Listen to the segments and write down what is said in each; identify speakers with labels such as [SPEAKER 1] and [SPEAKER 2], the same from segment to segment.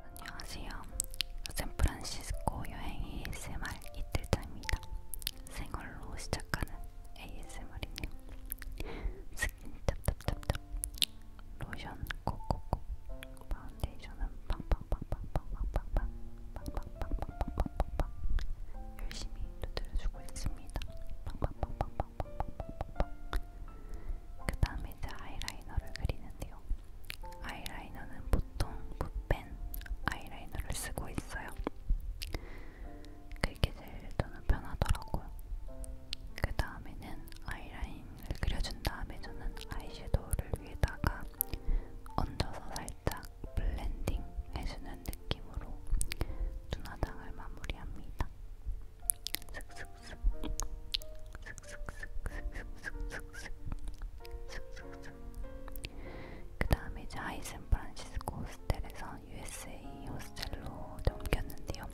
[SPEAKER 1] 안녕하세요. 샌프란시스코 여행 ASMR 이틀장입니다. 생얼로 시작하는 ASMR이네요. 스킨 탑탑탑탑 로션 코코코 파운데이션은 빵빵빵빵빵빵빵빵빵빵 빵빵빵빵빵빵 열심히 두드려주고 있습니다. 빵빵빵빵빵빵빵빵그 다음에 이제 아이라이너를 그리는데요. 아이라이너는 보통 붓펜 아이라이너를 쓰고 있어요. 그게 제일 저는 편하더라고요. 그 다음에는 아이라인을 그려준 다음에 저는 아이섀도우를 위에다가 얹어서 살짝 블렌딩 해주는 느낌으로 눈화장을 마무리합니다. 슥슥슥 슥슥슥슥슥슥슥슥슥 그 다음에 이제 하이샌프란시스코 호스텔에서 USA 호스텔로 옮겼는데요.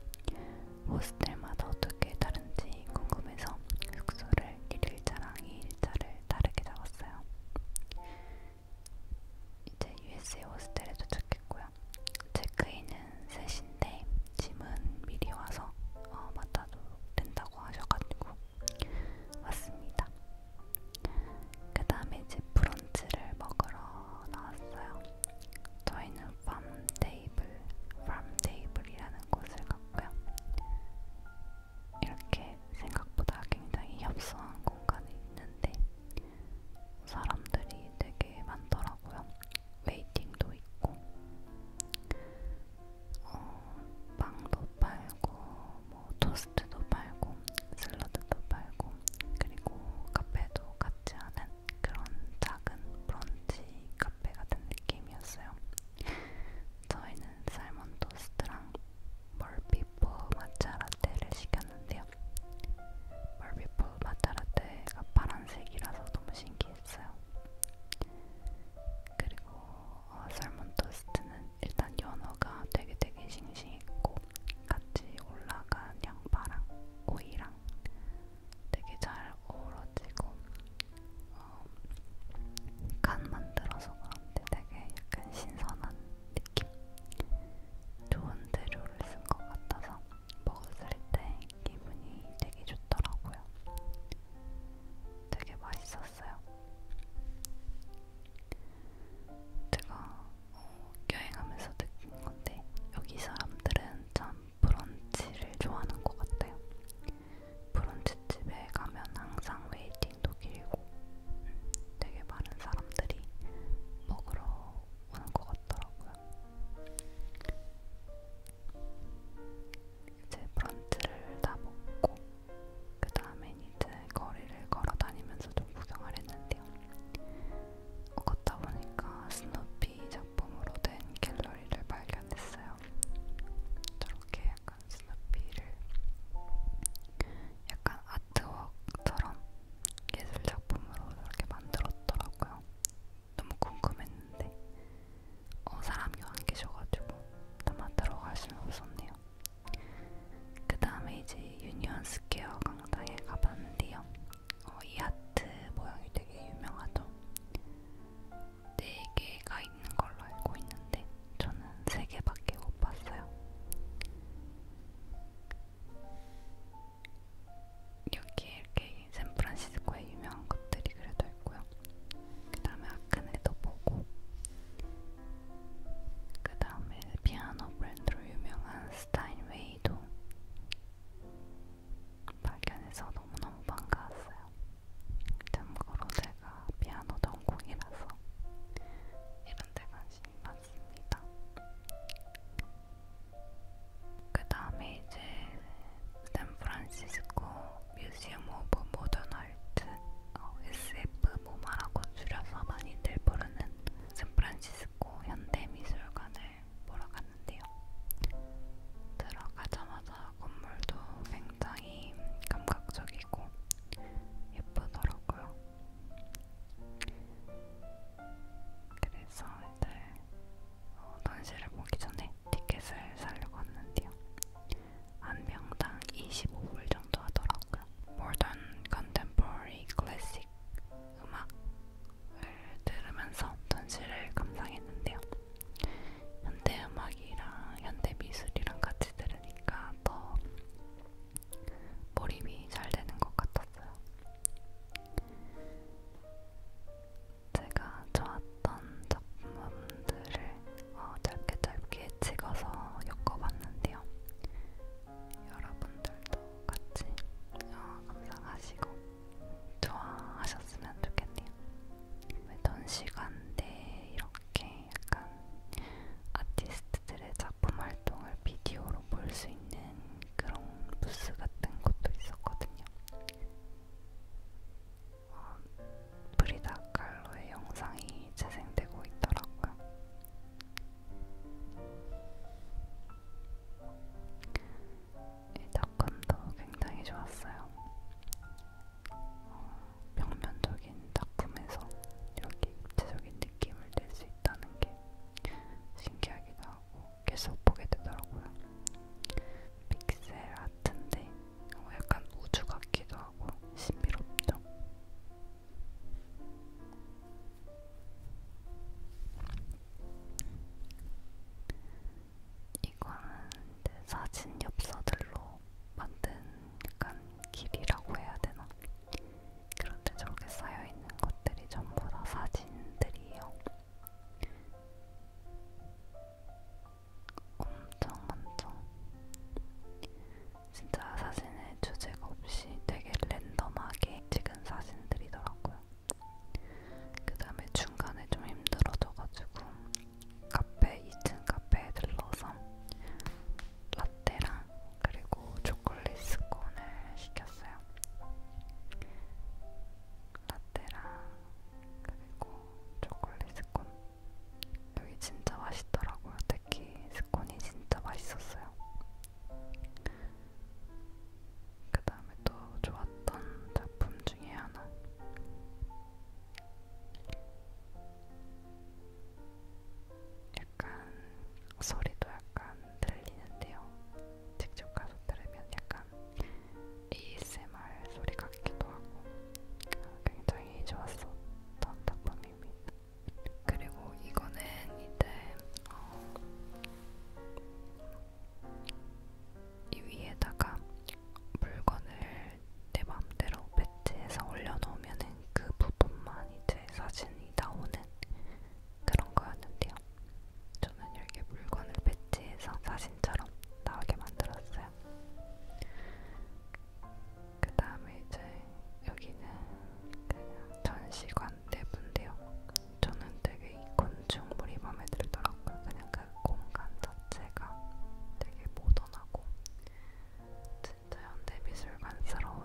[SPEAKER 1] 호스텔마다 어떻게 다른지 궁금해서 숙소를 1일차랑 2일차를 다르게 잡았어요. 이제 USA 호스텔에 도착했고요. 체크인은 3시인데 짐은 미리 와서 어, 맡아도 된다고 하셔가지고 왔습니다. 그 다음에 이제 브런치를 먹으러 나왔어요. 저희는 팜 테이블, 팜 테이블이라는 곳을 갔고요. 이렇게 생각보다 굉장히 협소한 공간이 있는데 사람들이 되게 많더라고요. 웨이팅도 있고, 어, 빵도 팔고, 뭐 토스트도 팔고, 샐러드도 팔고, 그리고 카페도 같이 하는 그런 작은 브런치 카페 같은 느낌이었어요. 저희는 저희는 살몬 토스트랑 멀피포 마차 라떼를 시켰는데요. 멀피포 마차 라떼가 파란색이라서 너무 신기했어요. 그리고 어, 살몬 토스트는 일단 연어가 되게 되게 싱싱했고 같이 올라간 양파랑 오이랑 되게 잘 어우러지고 어, 간 만들어서 그런데 되게 약간 신선한 느낌? 좋은 재료를 쓴 것 같아서 먹었을 때 기분이 되게 좋더라고요. 되게 맛있었어요. 제가 어, 여행하면서 느낀 건데 여기 사람들은 참 브런치를 좋아하는 것 같아요. 브런치집에 가면 항상 웨이팅 웨이팅도 길고 되게 많은 사람들이 먹으러 오는 것 같더라고요. 이제 브런치를 다 먹고 그 다음엔 이제 거리를 걸어 다니면서 좀 구경을 했는데요. 걷다 보니까 스누피 작품으로 된 갤러리를 발견했어요. 저렇게 약간 스누피를 약간 아트웍처럼 예술 작품으로 이렇게 만들었더라고요. 너무 궁금했는데 어, 사람이 안 계셔가지고 담아들어 갈 수는 없었네요. 그 다음에 이제 유니언 스퀘어 강당에 가봤는데요. 어, 이 하트 모양이 되게 유명하죠. 네 개가 있는 걸로 알고 있는데 저는 세 개밖에 못 봤어요. 여기 이렇게 샌프란시스코의 유명한 것들이 그래도 있고요. 그 다음에 아크네도 보고, 그 다음에 피아노 브랜드로 유명한 스타인웨이도 발견해서 너무너무 반가웠어요. 참고로 제가 제가 피아노 전공이라서 이런 데 관심이 많습니다. 그 다음에 이제 샌프란시스코 뮤지엄 오브 모던 아트 어, SF 모마라고 줄여서 많이들 부르는 샌프란시스코 현대미술관을 보러 갔는데요. 들어가자마자 건물도 굉장히 감각적이고 예쁘더라고요. 그래서 이제 어, 전시를 보기 전에 티켓을 사려고 했는데요. 한 명당 25불 정도 하더라고요. Modern Contemporary Classic 음악을 들으면서 전시를 감상했는데요. 현대음악이랑 현대미술이랑 같이 들으 들으니까 더 몰입이 잘 되는 것 같았어요. 제가 좋았던 작품들을 어, 짧게 짧게 찍어서 엮어봤는데요. 여러분들도 같이 어, 감상하시고 좋아하셨으면 좋겠네요. 이번 시간 내 이렇게 약간 아티스트들의 작품 활동을 비디오로 볼 수 있는 그런 부스 같은 것도 있었거든요. 어, 브리다 칼로의 영상이 재생되고 있더라고요. 이 덕분도 굉장히 좋았어요. 어, 평면적인 작품에서 이렇게 입체적인 느낌을 낼 수 있다는 게 신기하기도 하고 계속 보게 되더라고요. 픽셀 아트인데 어, 약간 우주 같기도 하고 신비롭죠. 이거는 사진 엽서들로 만든 약간 길이라고 해야 되나? 그런데 저렇게 쌓여있는 것들이 전부 다 사진들이에요. 엄청 많죠? 진짜 사진의 주제가 없이 되게 랜덤하게 찍은 사진들이더라고요. 그 다음에 중간에 좀 힘들어져가지고 카페 2층 카페에 들러서 라떼랑 그리고 초콜릿 스콘을 시켰어요. 라떼랑 그리고 초콜릿 스콘 여기 진짜 맛있더라고요. 특히 스콘이 진짜 맛있었어요. 그 다음에 또 좋았던 작품 중에 하나 약간 소리도 약간 들리는데요. 직접 가서 들으면 약간 ASMR 소리 같기도 하고 굉장히 좋았었던 작품입니다. 그리고 이거는 이제 어, 이 위에다가 물건을 내 맘대로 배치해서 올려놓으면 그 부분만 이제 사진이 나오는 그런 거였는데요. 저는 이렇게 물건을 배치해서 사진처럼 나오게 만들었어요. 그 다음에 이제 여기는 그냥 전시관 내부인데요. 저는 되게 이 건축물이 마음에 들더라고요. 그냥 그 공간 자체가 되게 모던하고 진짜 현대미술관스러운 음.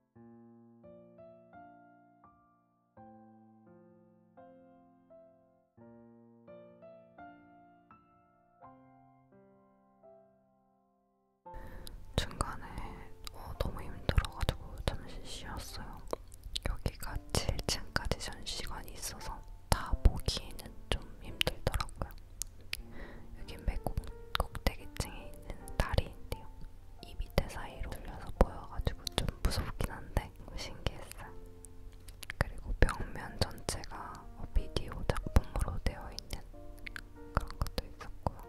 [SPEAKER 1] 중간에 어, 너무 힘들어가지고 잠시 쉬었어요. 여기가 7층까지 전시관이 있어서 다 보기에는 좀 힘들더라고요. 여긴 맨 꼭대기층에 있는 다리인데요. 이 밑에 사이로 올려서 보여가지고 좀 무섭긴 한데 신기했어. 그리고 벽면 전체가 비디오 작품으로 되어 있는 그런 것도 있었고요.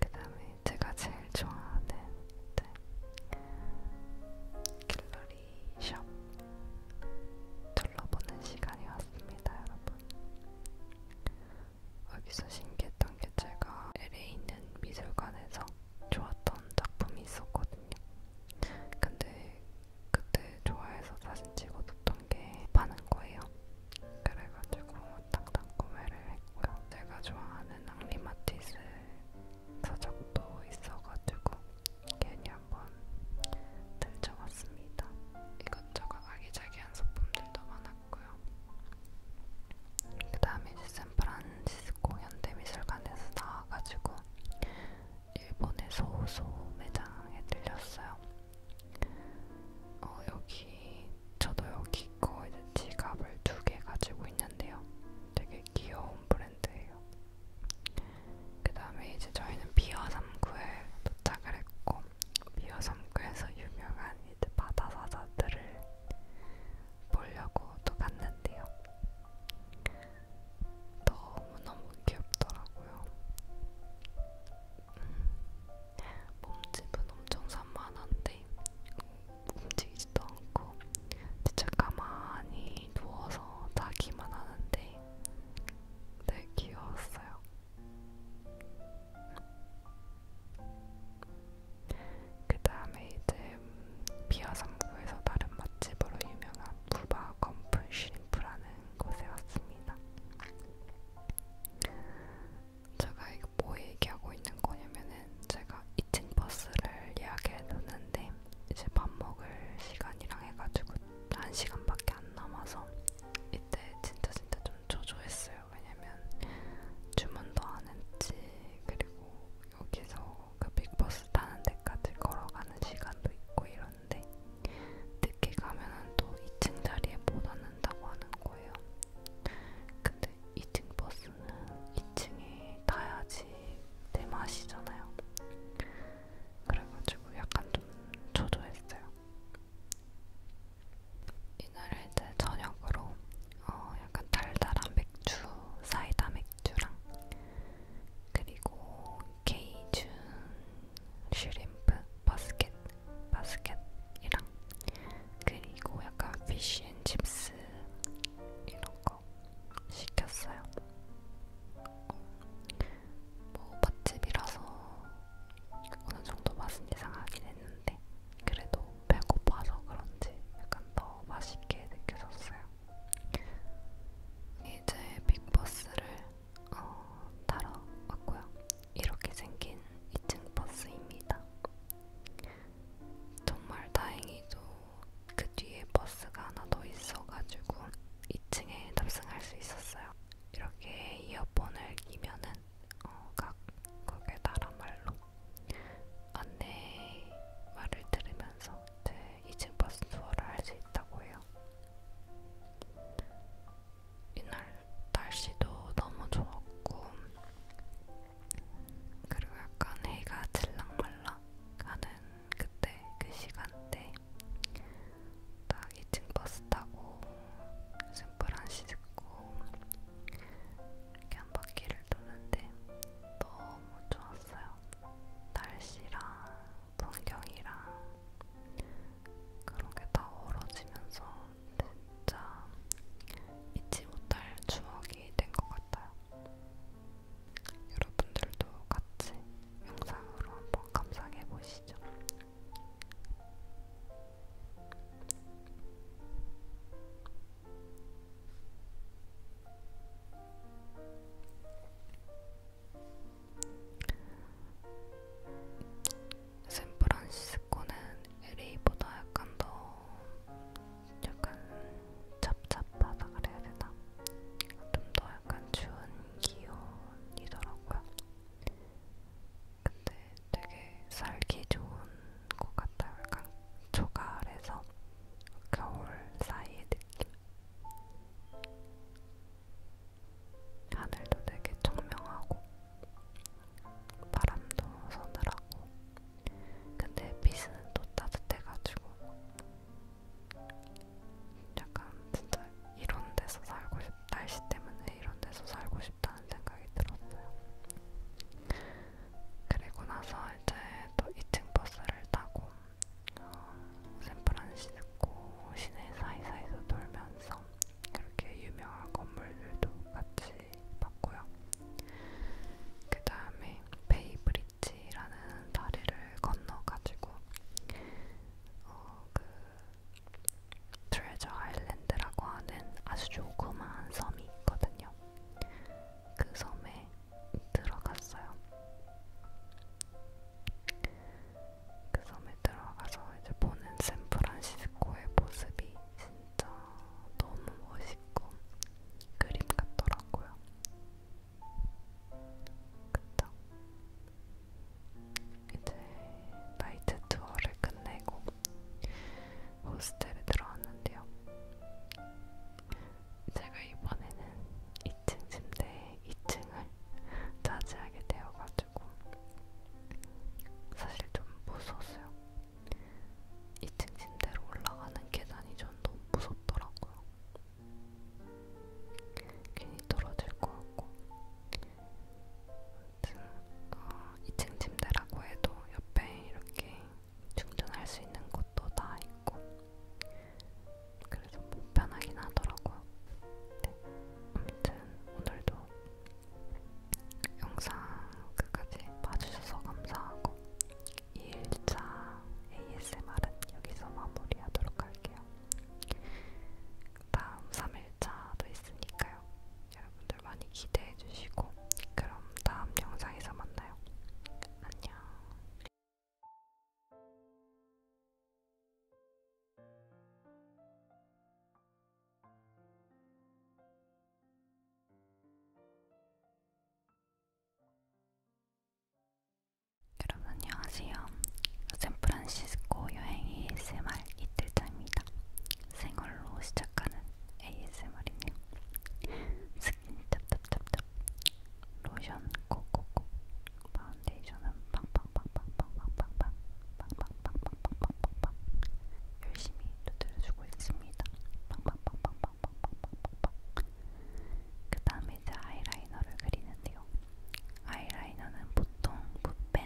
[SPEAKER 1] 그 다음에 제가 제일 좋아하는 네. 갤러리 샵 둘러보는 시간이 왔습니다, 여러분. 여기서 신기했던 게 제가 LA에 있는 미술관에서 좋았던 작품이 있었거든요. 근데 그때 좋아해서 사진 찍어 뒀던 게 파는 거예요. 그래가지고 당당 구매를 했고요. 제가 좋아하는 앙리마티스 서적도 있어가지고 괜히 한번 들쳐봤습니다. 이것저것 아기자기한 소품들도 많아 같고요. 그 다음에 샌프란시스코 현대미술관에서 나와가지고 일본의 소호소 매장에 들렸어요. 어, 여기 저도 여기 거 이제 지갑을 두 개 가지고 있는데요. 되게 귀여운 브랜드예요. 그 다음에 이제 저희는 비어 3구에 도착을 했고 미어섬교에서 유명한 이제 바다사자들을 보려고 또 갔는데요. 너무너무 귀엽더라고요. 음, 몸집은 엄청 산만한데 움직이지도 않고 진짜 가만히 누워서 자기만 하는데 되게 귀여웠어요. 그 다음에 이제 비아삼구에서 다른 맛집으로 유명한 부바 건풀 슈림프라는 곳에 왔습니다. 제가 이거 뭐 얘기하고 있는 거냐면은 제가 2층 버스를 예약해놓는데 이제 밥 먹을 시간이랑 해가지고 1시간밖에 안 남아서 이때 진짜 진짜 좀 조조했어요. 있어요. 왜냐면 주문도 안 했지. 그리고 여기서 그 빅버스 타는 데까지 걸어가는 시간도 있고 이런데 늦게 가면은 또 2층 자리에 못 앉는다고 하는 거예요. 근데 2층 버스는 2층에 타야지 내 맛이잖아요. 그래가지고 약간 좀 초조했어요. 이날에 이제 저녁으로 어 약간 달달한 맥주, 사이다 맥주랑 그리고 케이준 슈림프 바스켓 바스켓이랑 그리고 약간 피쉬앤칩스 이런 거 시켰어요. 어, 뭐 맛집이라서 어느 정도 맛은 이상하긴 했는데 그래도 배고파서 그런지 약간 더 맛있게 느껴졌어요. 이제 빅버스를 어, 타러 왔고요. 이렇게 생긴 2층 버스입니다. 정말 다행히도 그 뒤에 버스가 하나 더 있어가지고 2층에 탑승할 수 있었어요. 이렇게 이어폰을 끼면은 어, 각 거기에 따라 말로 안내 말을 들으면서 이제 2층 버스 투어를 할 수 있다고 해요. 이날 날씨도 너무 좋았고 그리고 약간 해가 질랑말랑 가는 그때 그 시간대 딱 2층 버스 타고 샌프란시스코 이렇게 한 바퀴를 도는데 너무 좋았어요. 날씨랑 풍경이랑 그런 게 다 어우러지면서 진짜 잊지 못할 추억이 된 것 같아요. 여러분들도 같이 영상으로 한번 감상해 보시죠. 샌프란시스코는 LA보다 약간 더 약간 찹찹하다 그래야 되나? 좀 더 약간 추운 기온이더라고요. 근데 되게 살기 좋은 것 같아요. 약간 초가을에서 겨울 사이의 느낌. 하늘도 되게 청명하고 바람도 서늘하고 근데 빛은 또 따뜻해가지고 약간 진짜 이런 데서 살고 싶, 날씨 때문에 이런 데서 살고 싶다는 생각이 들었어요. 그리고 나서 이제 또 2층 버스를 타고 어, 샌프란시스코 시내 사이사이에서 돌면서 그렇게 유명한 건물들도 같이 봤고요. 그 다음에 베이브리지라는 다리를 건너가지고 어, 그 트레저 아일랜드라고 하는 아주 조그마한 섬이 있거든요. 그 섬에 들어갔어요. 그 섬에 들어가서 이제 보는 샌프란시스코의 모습이 진짜 너무 멋있고 그림 같더라고요. 그쵸? 이제 나이트 투어를 끝내고 호스텔에 들어왔는데요. 제가 이번에는 2층 침대에 2층을 차지하게 되어가지고 사실 좀 무서웠어요. 2층 침대로 올라가는 계단이 전 너무 무섭더라고요. 괜히 떨어질 것 같고 어, 2층 침대라고 해도 옆에 이렇게 충전할 수 있는 곳도 다 있고 그래서 뭐 편하긴 하더라고요. 네. 아무튼 오늘도 영상 끝까지 봐주셔서 감사하고 2일차 ASMR은 여기서 마무리하도록 할게요. 다음 3일차도 있으니까요. 여러분들 많이 기대해 주시고 그럼 다음 영상에서 만나요. 안녕. 여러분 안녕하세요. 샌프란시스코 여행 ASMR 이틀차입니다. 생얼로 시작하는 ASMR이네요. 스킨 탑탑탑탑, 로션 꼭꼭꼭, 파운데이션은 빵빵빵빵빵빵빵빵, 빵빵빵빵빵빵빵 열심히 두드려주고 있습니다. 빵빵빵빵빵빵빵빵빵. 그 다음에 이제 아이라이너를 그리는데요. 아이라이너는 보통 붓펜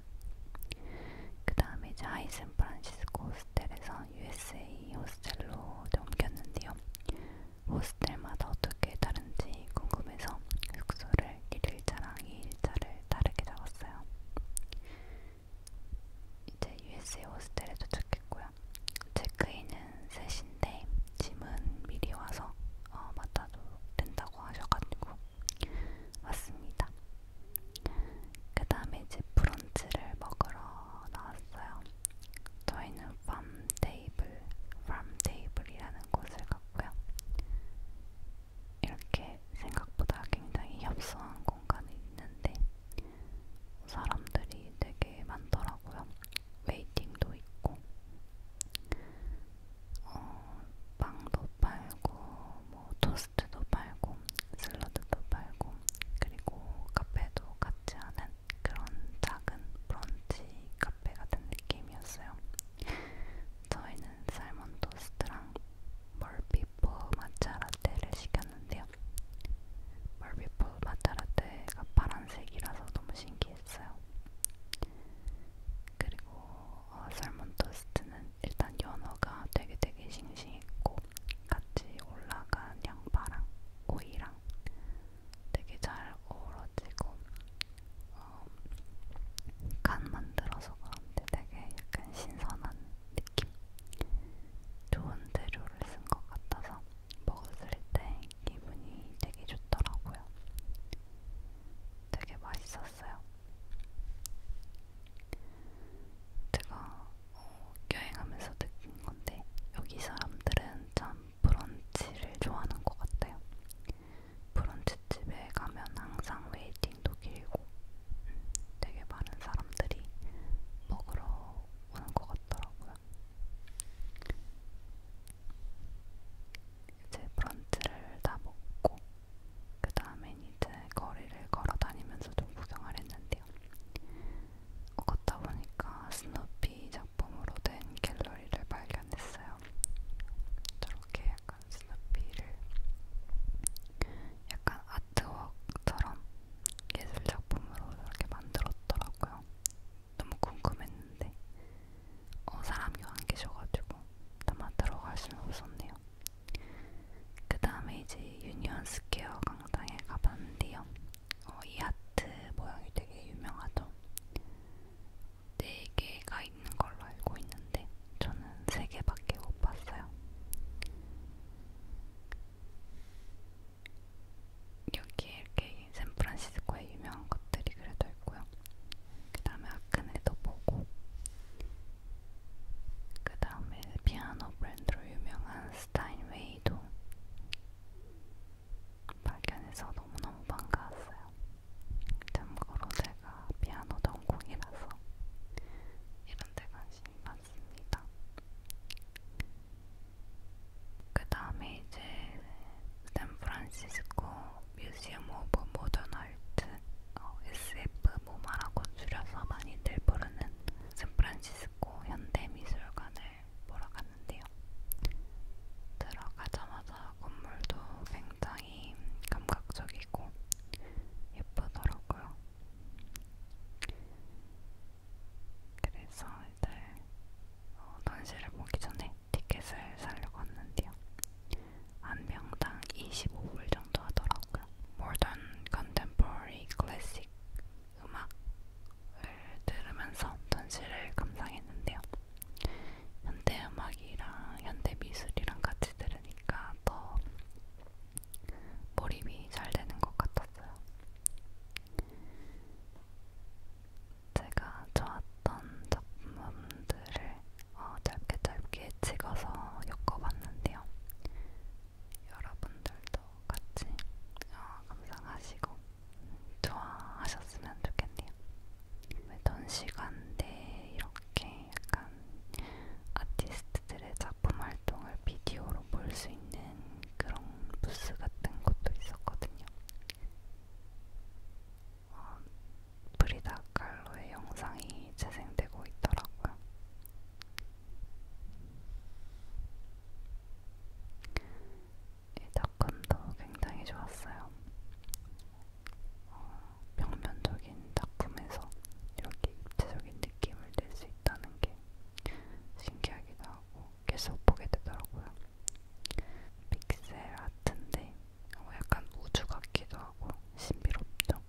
[SPEAKER 1] 있었어. 그 다음에 이제 하이샌프란시스코 호스텔에서 USA 호스텔로 옮겼는데요. 호스텔마다 어떻게 다른지 궁금해서 숙소를 1일차랑 2일차를 다르게 잡았어요. 이제 USA 호스텔에 도착했고요. 체크인은 3시인데 짐은 미리 와서 어, 맡아도 된다고 하셔가지고 왔습니다. 그 다음에 이제 브런치를 먹으러 나왔어요. 저희는 팜 테이블, 팜 테이블이라는 곳을 갔고요. 이렇게 생각보다 굉장히 협소한 공간이 있는데 사람들이 되게 많더라고요. 웨이팅도 있고 어, 빵도 팔고, 뭐 토스트도 팔고, 샐러드도 팔고, 그리고 카페도 같지 않은 그런 작은 브런치 카페 같은 느낌이었어요. 저희는 살몬 토스트랑 멀피포 마차 라떼를 시켰는데요. 멀피포 마차 라떼가 파란색이라서 너무 신기했어요. 그리고 어, 살몬 토스트는 일단 연어가 되게 되게 싱싱했고 같이 올라간 양파랑 오이랑 되게 잘 어우러지고 어, 간 만들어서 그런데 되게 약간 신선한 느낌 좋은 재료를 쓴 것 같아서 먹었을 때 기분이 되게 좋더라고요. 되게 맛있었어요. 제가 어, 여행하면서 느낀 건데 여기 사람들은 참 브런치를 좋아하는 것 같아요. 브런치집에 가면 항상 웨이팅도 길고 음, 되게 많은 사람들이 먹으러 오는 것 같더라고요. 이제 브런치를 다 먹고 그 다음엔 이제 거리를 걸어 다니면서 좀 구경을 했는데요. 어, 걷다 보니까 스누피 작품으로 된 갤러리를 발견했어요. 저렇게 약간 스누피를 약간 아트웍처럼 예술 작품으로 이렇게 만들었더라고요. 너무 궁금했는데 어, 사람이 안 계셔가지고 아마 들어갈 수는 없었네요. 그 다음에 이제 유니언 스퀘어 광장에 가봤는데요. 어, 이 하트 모양이 되게 유명하죠. 네 개가 있는 걸로 알고 있는데 저는 세 개밖에 못 봤어요. 여기 이렇게 샌프란시스코의 유명한 것들이 그래도 있고요. 그 다음에 아크네도 보고 그 다음에 피아노 브랜드로 유명한 스타인웨이도 발견해서 너무너무 반가웠어요. 참고로 제가 피아노 전공이라서 이런데 관심이 많습니다. 그 다음에 이제 샌프란시스코 뮤지엄 오브 모던 아트 어, SF 모마라고 줄여서 많이들 부르는 샌프란시스코 현대미술관을 보러 갔는데요. 들어가자마자 건물도 굉장히 감각적이고 예쁘더라고요. 그래서 이제 어, 전시를 보기 전에 티켓을 사려고 왔는데요. 한 명당 25불 정도 하더라고요. 모던 컨템포러리 클래식 음악을 들으면서 전시를 감상했는데요. 현대 음악이랑 현대 미술이랑 같이 들으니까 더 몰입이 잘 되는 것 같았어요. 제가 좋았던 작품들을 어, 짧게 짧게 찍어서 엮어봤는데요. 여러분들도 같이 어, 감상하시고 좋아하셨으면 좋겠네요. 매던 시간 내에 이렇게 약간 아티스트들의 작품 활동을 비디오로 볼 수 있는 그런 부스 같은 것도 있었거든요. 어, 프리다 칼로의 영상이 재생되고 있더라고요. 이 작품도 굉장히 좋았어요. 어, 평면적인 작품에서 이렇게 입체적인 느낌을 낼 수 있다는 게 신기하기도 하고 계속 보게 되더라고요. 픽셀 아트인데 어, 약간 우주 같기도 하고 신비롭죠.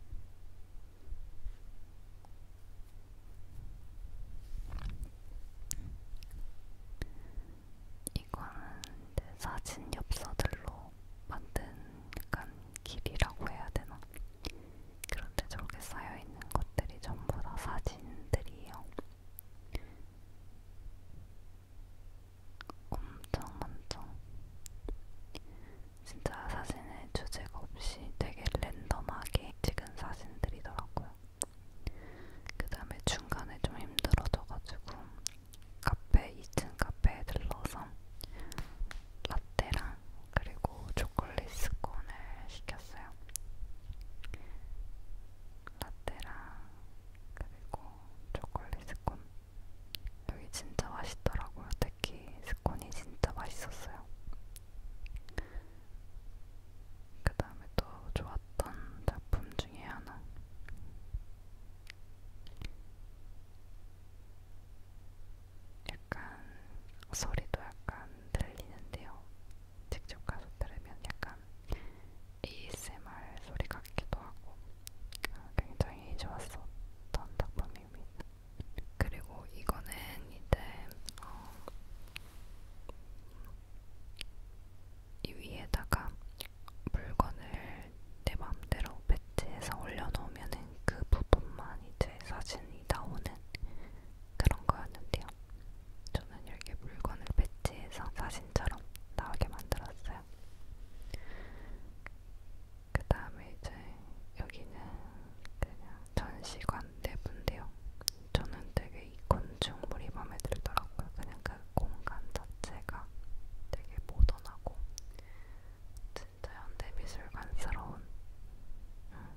[SPEAKER 1] 이거는 사진 엽서들로 만든 약간 길이라고 해야 되나? 그런데 저렇게 쌓여있는 것들이 전부 다 사진들이에요. 엄청 엄청 진짜 사진에 주제가 없이 되게 랜덤하게 찍은 사진들이더라고요. 그 다음에 중간에 좀 힘들어져가지고 카페 2층 카페에 들러서 라떼랑 그리고 초콜릿 스콘을 시켰어요. 라떼랑 그리고 초콜릿 스콘 여기 진짜 맛있더라고요. 특히 스콘이 진짜 맛있었어요. 그 다음에 또 좋았던 작품 중에 하나. 약간 소리도 약간 들리는데요. 직접 가서 들으면 약간 ASMR 소리 같기도 하고 아, 굉장히 좋았었던 작품입니다. 그리고 이거는 이제 어, 이 위에다가 물건을 내 맘대로 배치해서 올려놓으면은 그 부분만 이제 사진이 나오는 그런 거였는데요. 저는 여기 물건을 배치해서 사진처럼 나오게 만들었어요. 있어요. 그 다음에 이제 여기는 그냥 전시관 내부인데요. 저는 되게 이 건축물이 마음에 들더라고요. 그냥 그 공간 자체가 되게 모던하고 진짜 현대미술관스러운 음.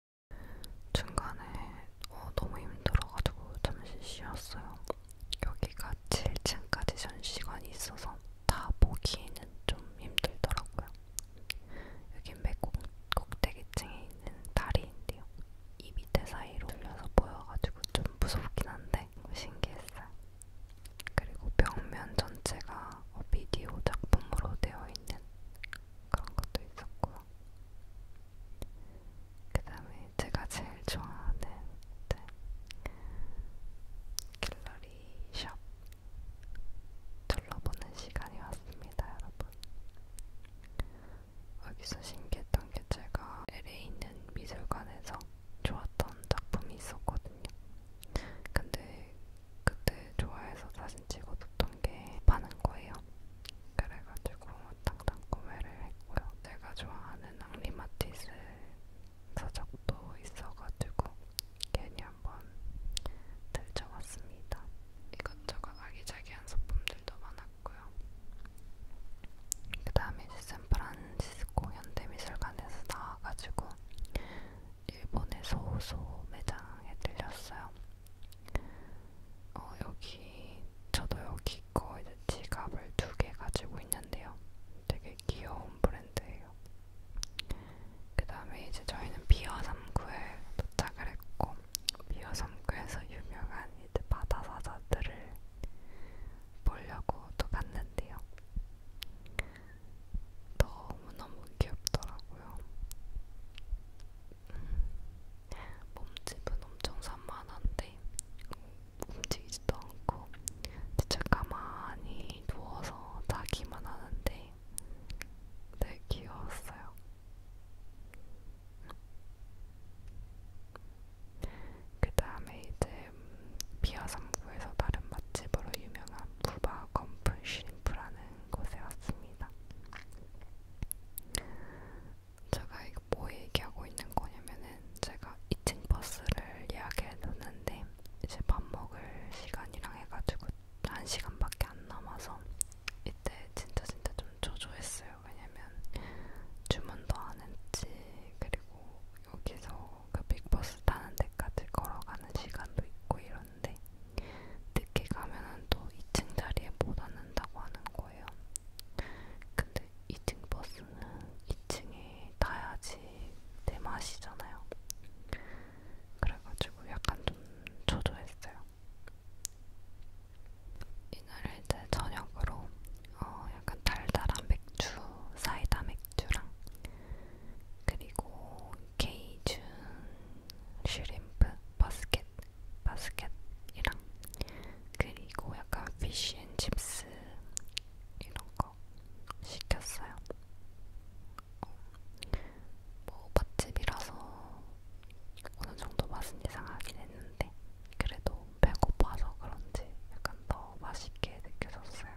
[SPEAKER 1] 중간에 어, 너무 힘들어가지고 잠시 쉬었어요. 여기가 7층까지 전시관이 있어서 다 보기에는 좀 힘들더라고요. 여긴 맨 꼭대기층에 있는 다리인데요. 이 밑에 사이로 올려서 보여가지고 좀 무섭긴 한데 신기했어요. 그리고 벽면 전체가 어, 비디오 작품으로 되어 있는 그런 것도 있었고요. 그 다음에 제가 제일 좋아하는 네. 갤러리 샵 둘러보는 시간이 왔습니다, 여러분. 여기서 신기했던 게 제가 LA에 있는 미술관에서 좋았던 작품이 있었거든요. 근데 그때 좋아해서 사진 찍어뒀던 개 파는 거예요. 그래가지고 당당 구매를 했고요. 제가 좋아하는 앙리마티스 서적도 있어가지고 괜히 한번 들쳐왔습니다. 이것저것 아기자기한 소품들도 많았고요. 그 다음에 샌프란시스코 현대미술관에서 나와가지고 일본의 소호소 매장에 들렸어요. 어, 여기 저도 여기 거 이제 지갑을 두 개 가지고 있는데요. 되게 귀여운 브랜드예요. 그 다음에 이제 저희는 비어삼구에 도착을 했고 비어삼구에서 유명한 이제 바다 사자들을 보려고 또 갔는데요. 너무너무 귀엽더라고요. 몸집은 엄청 산만한데 움직이지도 않고 진짜 가만히 누워서 자기만 하는데 되게 귀여웠어요. 그 다음에 이제 비아 3구에서 다른 맛집으로 유명한 부바 건풀 슈림프라는 곳에 왔습니다. 제가 이거 뭐 얘기하고 있는 거냐면은 제가 2층 버스를 예약해 뒀는데 이제 밥 먹을 시간이랑 해가지고 1시간밖에 안 남아서 이때 진짜 진짜 좀 조조했어요. 왜냐면 주문도 안 했지. 그리고 여기서 그 빅버스 타는 데까지 걸어가는 시간도 있고 이런데 늦게 가면은 또 2층 자리에 못 앉는다고 하는 거예요. 근데 2층 버스는 2층에 타야지 내 맛이잖아요. 그래가지고 약간 좀 초조했어요. 이날을 이제 저녁으로 어 약간 달달한 맥주, 사이다 맥주랑 그리고 케이준 슈림프 바스켓 바스켓 바스켓이랑 그리고 약간 피쉬앤칩스 이런거 시켰어요 어, 뭐 맛집이라서 어느정도 맛은 이상하긴 했는데 그래도 배고파서 그런지 약간 더 맛있게 느껴졌어요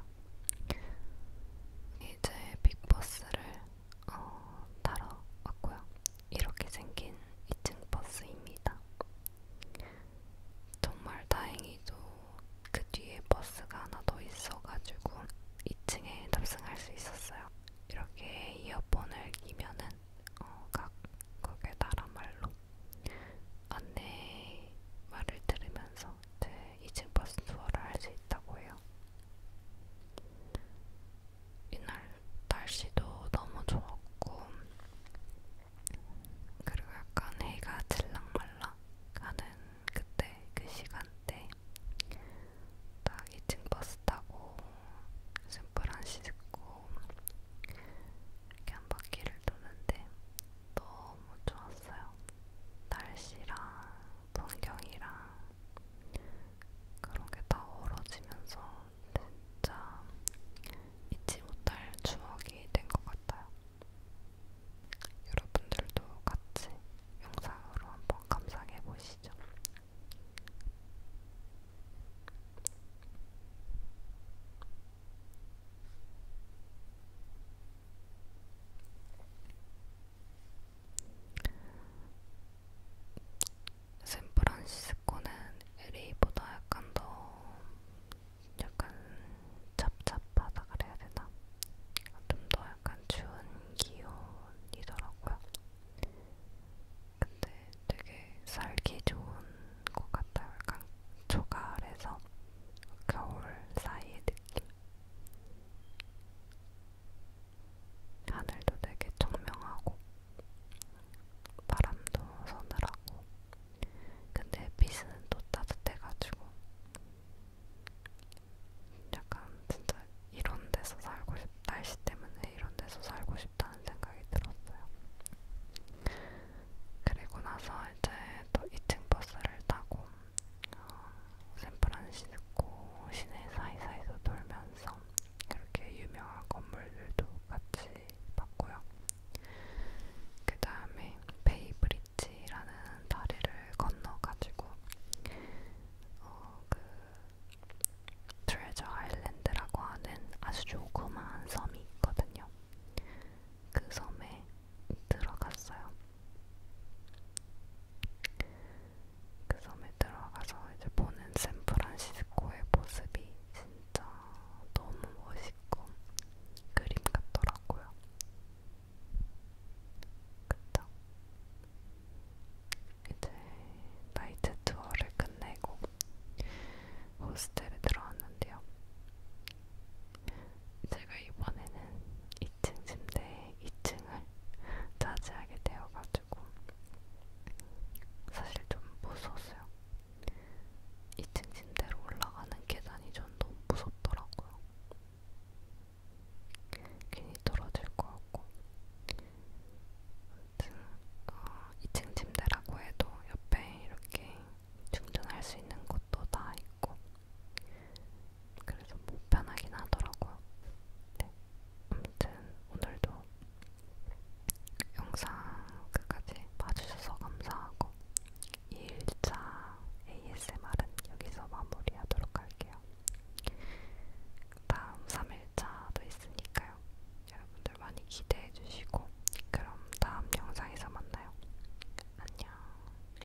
[SPEAKER 1] 이제 빅버스를 어, 타러 왔고요. 이렇게 생긴 2층 버스입니다. 정말 다행히도 그 뒤에 버스가 하나 더 있어가지고 2층에 탑승할 수 있었어요. 이렇게 이어폰을 끼면은 어, 각 거기에 나라 말로 안내 말을 들으면서 이제 2층 버스 투어를 할 수 있다고 해요. 이날 날씨도 너무 좋았고 그리고 약간 해가 질랑말랑 가는 그때 그 시간대 딱 2층 버스 타고 샌프란시스코 이렇게 한 바퀴를 도는데 너무 좋았어요. 날씨랑 풍경이랑 그런 게 다 어우러지면서 진짜 잊지 못할 추억이 된 것 같아요. 여러분들도 같이 영상으로 한번 감상해 보시죠. 샌프란시스코는 LA보다 약간 더 약간 찹찹하다 그래야 되나? 좀 더 약간 추운 기온이더라고요. 근데 되게 살기 좋은 것 같아요. 약간 초가을에서 겨울 사이의 느낌. 하늘도 되게 청명하고 바람도 서늘하고 근데 빛은 또 따뜻해가지고 약간 진짜 이런 데서 살고 싶 날씨 때문에 이런 데서 살고 싶다는 생각이 들었어요. 그리고 나서 이제 또 2층 버스를 타고 어, 샌프란시스코 시내 사이사이에서 돌면서 이렇게 유명한 건물들도 같이 봤고요. 그 다음에 베이브리지라는 다리를 건너가지고 어, 그 트레저 아일랜드라고 하는 아주 조그마한 섬이 있거든요. 그 섬에 들어갔어요. 그 섬에 들어가서 이제 보는 샌프란시스코의 모습이 진짜 너무 멋있고 그림 같더라고요. 그쵸? 이제 나이트 투어를 끝내고 호스텔에 들어왔는데요. 제가 이번에는 2층 침대에 2층을 차지하게 되어가지고 그래가지고 사실 좀 무서웠어요. 2층 침대로 올라가는 계단이 전 너무 무섭더라고요. 괜히 떨어질 것 같고. 아무튼 어, 2층 침대라고 해도 옆에 이렇게 충전할 수 있는 것도 다 있고 그래서 뭐 편하긴 하더라고요. 네. 아무튼 오늘도 영상 끝까지 봐주셔서 감사하고 2일차 ASMR은 여기서 마무리하도록 할게요. 다음 3일차도 있으니까요. 여러분들 많이 기대해 주시고 그럼 다음 영상에서 만나요. 안녕.